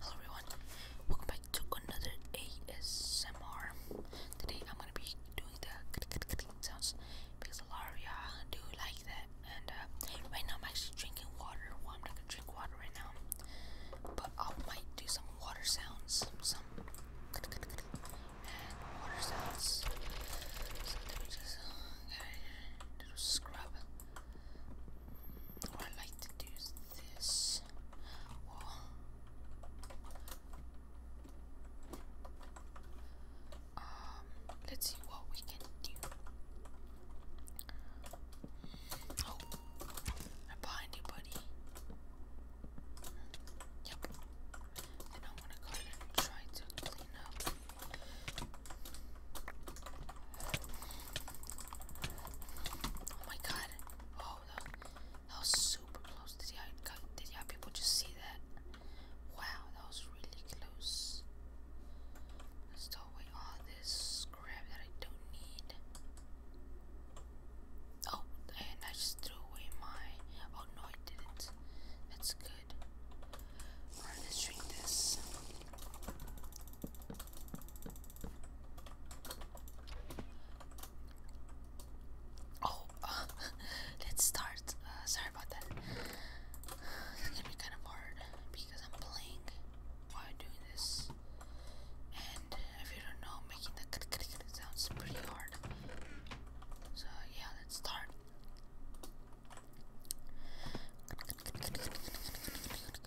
Hello everyone, welcome back to another ASMR. Today I'm gonna be doing the sounds because a lot of y'all do like that. And uh, right now I'm actually drinking water. Well, I'm not gonna drink water right now, but I might do some water sounds, some water sounds. So let me just little Scrub, Oh, I like to do this. um, let's see what we can do. Oh, I'm behind Yep. And I'm gonna go and try to clean up Oh my god. Oh, that, was super close. to y'all, did y'all people just see that? Wow, that was really close. throw away all oh, this crap that I don't need. Oh, and I just threw away my. Oh no, I didn't. That's good. let's drink this. Oh, let's start. Uh, sorry about that. It's gonna be kind of hard because I'm playing while doing this, and if you don't know, making the click sounds pretty hard. So yeah, let's start.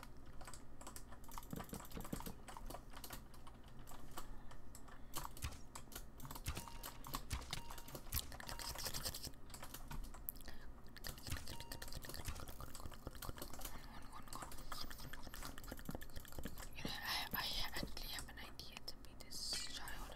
You know, I, I actually have an idea to be this child.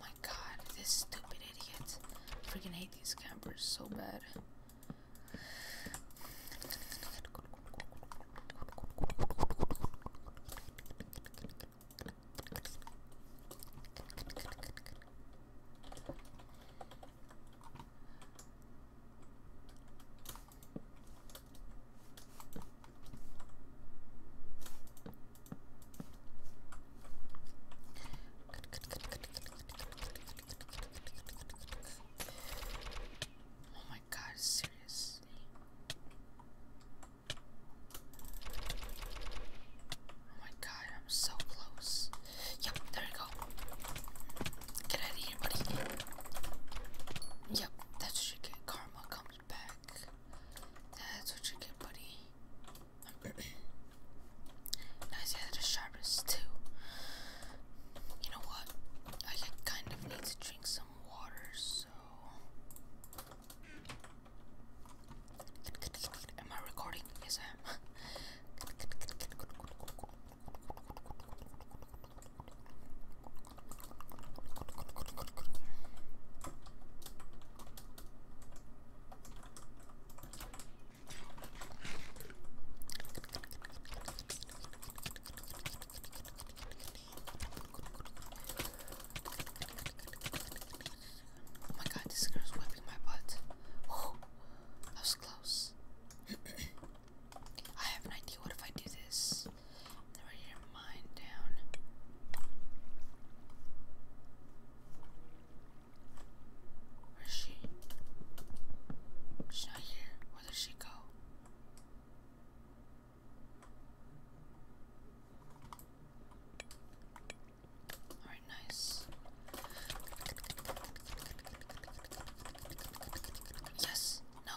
My god, this stupid idiot. I freaking hate these campers so bad. Oh my god, seriously. Oh my god, I'm so close. Yep, there you go. Get out of here, buddy. Yep, that's what you get. Karma comes back. That's what you get, buddy now see that sharpest too. You know what? I kind of need to drink some water, so. Am I recording? Yes, I am. Oh my god, this girl's wiping my butt. Oh, that was close. I have an idea. What if I do this? I'm right down. Where's she? She's not here. Where did she go? Alright, nice. Yes! No!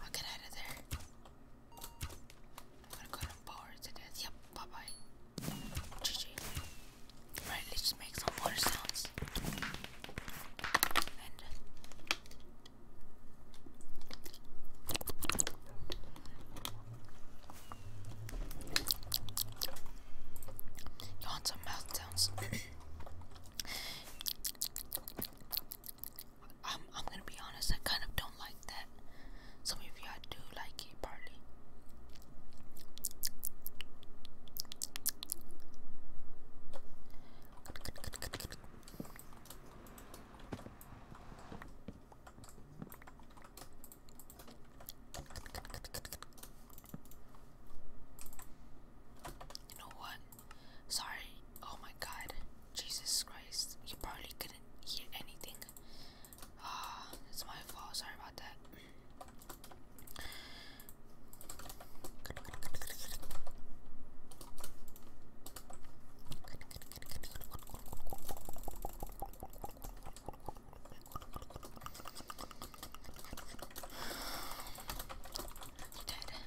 I'll get out of there. I'm gonna go and power to Yep, bye bye. GG. let's just make some water sounds. And uh, you want some mouth sounds? I'm, I'm gonna be honest, I kind of don't like that. Some of y'all do like it, partly. You know what? Sorry. Oh my god. Jesus Christ. You probably couldn't hear anything. Ah, it's my fault. Sorry about that. You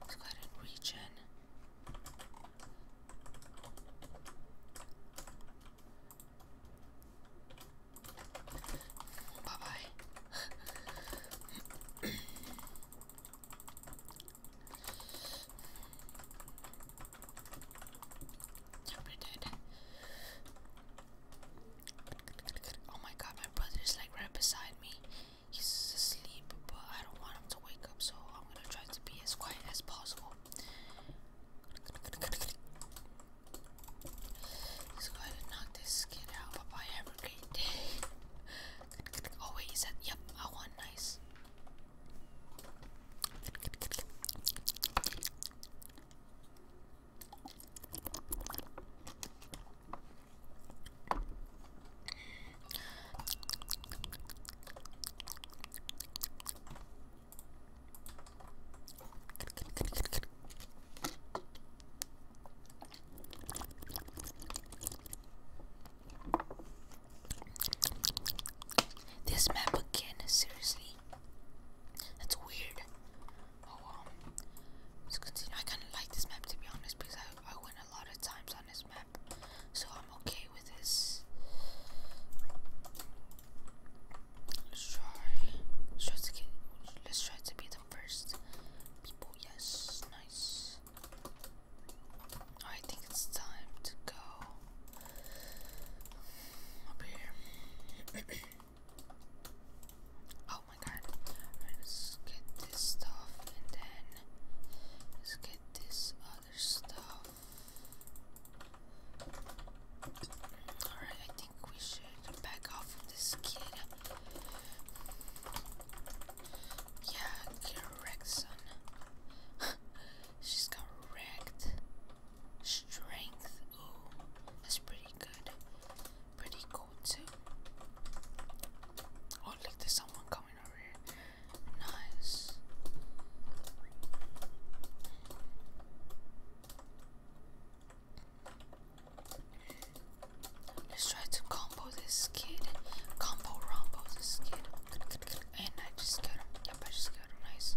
Let's go ahead and reach in. Bye bye. You're pretty dead. Oh my god, my brother is like right beside me he's asleep, but I don't want him to wake up, so I'm gonna try to be as quiet as possible. Let's knock this kid out. Bye bye, have a great day. Oh, wait, is that? Yep, I want nice. This map again, seriously. That's weird. Oh, um, let I kind of like this map to be honest because I I win a lot of times on this map, so I'm okay with this. Let's try. try to get. Let's try to be the first people. Yes, nice. I think it's time to go up here. oh my god! right, let's get this stuff and then Let's get this other stuff. Alright, I think we should back off of this kid. Yeah, get wrecked, son. She's got wrecked. Strength. Ooh, that's pretty good. Pretty cool, too. Oh, look, there's someone coming. Let's try to combo this kid. Combo rombo this kid. And I just got him. Yep, I just got him. Nice.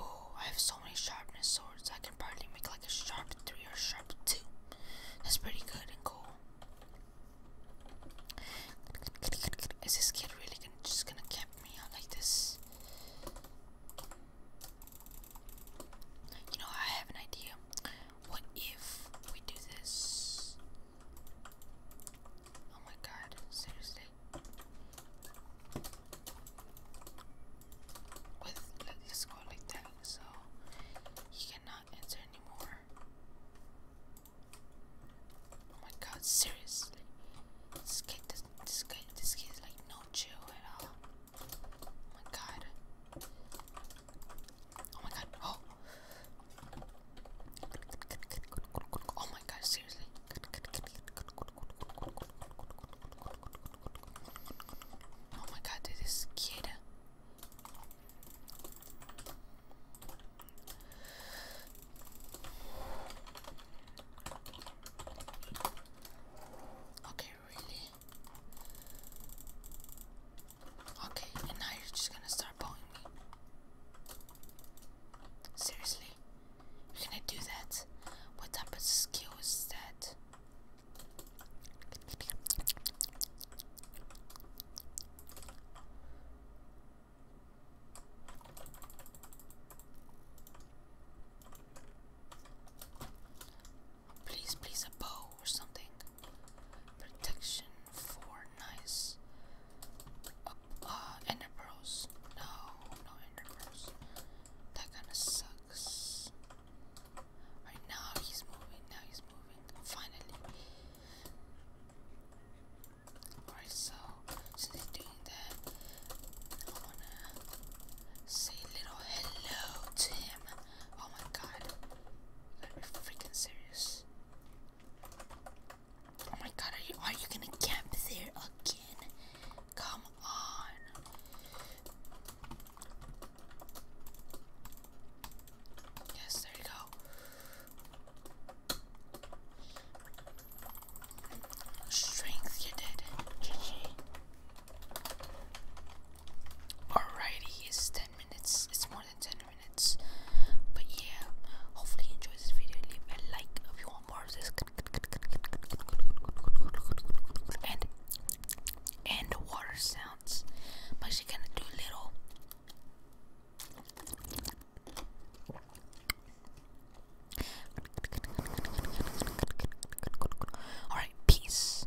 Oh, I have so many sharpness swords. I can probably make like a sharp three or sharp two. That's pretty good and cool. Is this kid really gonna, just gonna cap me out like this? You know, I have an idea. What if we do this? Oh my god, seriously. With let, let's like that, so he cannot enter anymore. Oh my god, seriously. This kid this this guy this kid is like no chill at all. Oh my god. Oh my god. Oh. Oh my god, seriously. Oh my god, this is kid. Okay, really? Okay, and now you're just gonna start pulling me. Seriously? You're gonna do that? What type of skill is that? Please please a bow or something. Protection for nice uh, uh, ender pearls. No, no ender pearls. That kinda sucks. Alright now he's moving, now he's moving. Finally. Alright, so since he's doing that, I wanna say little hello to Oh my god. You got freaking serious. Oh my god, are you are you gonna camp there again? Come on. Yes, there you go. Strength, you did. Alrighty, is 10 minutes it's more than 10 minutes but yeah hopefully you this video leave a like if you want more of this and and water sounds i'm actually gonna do little all right peace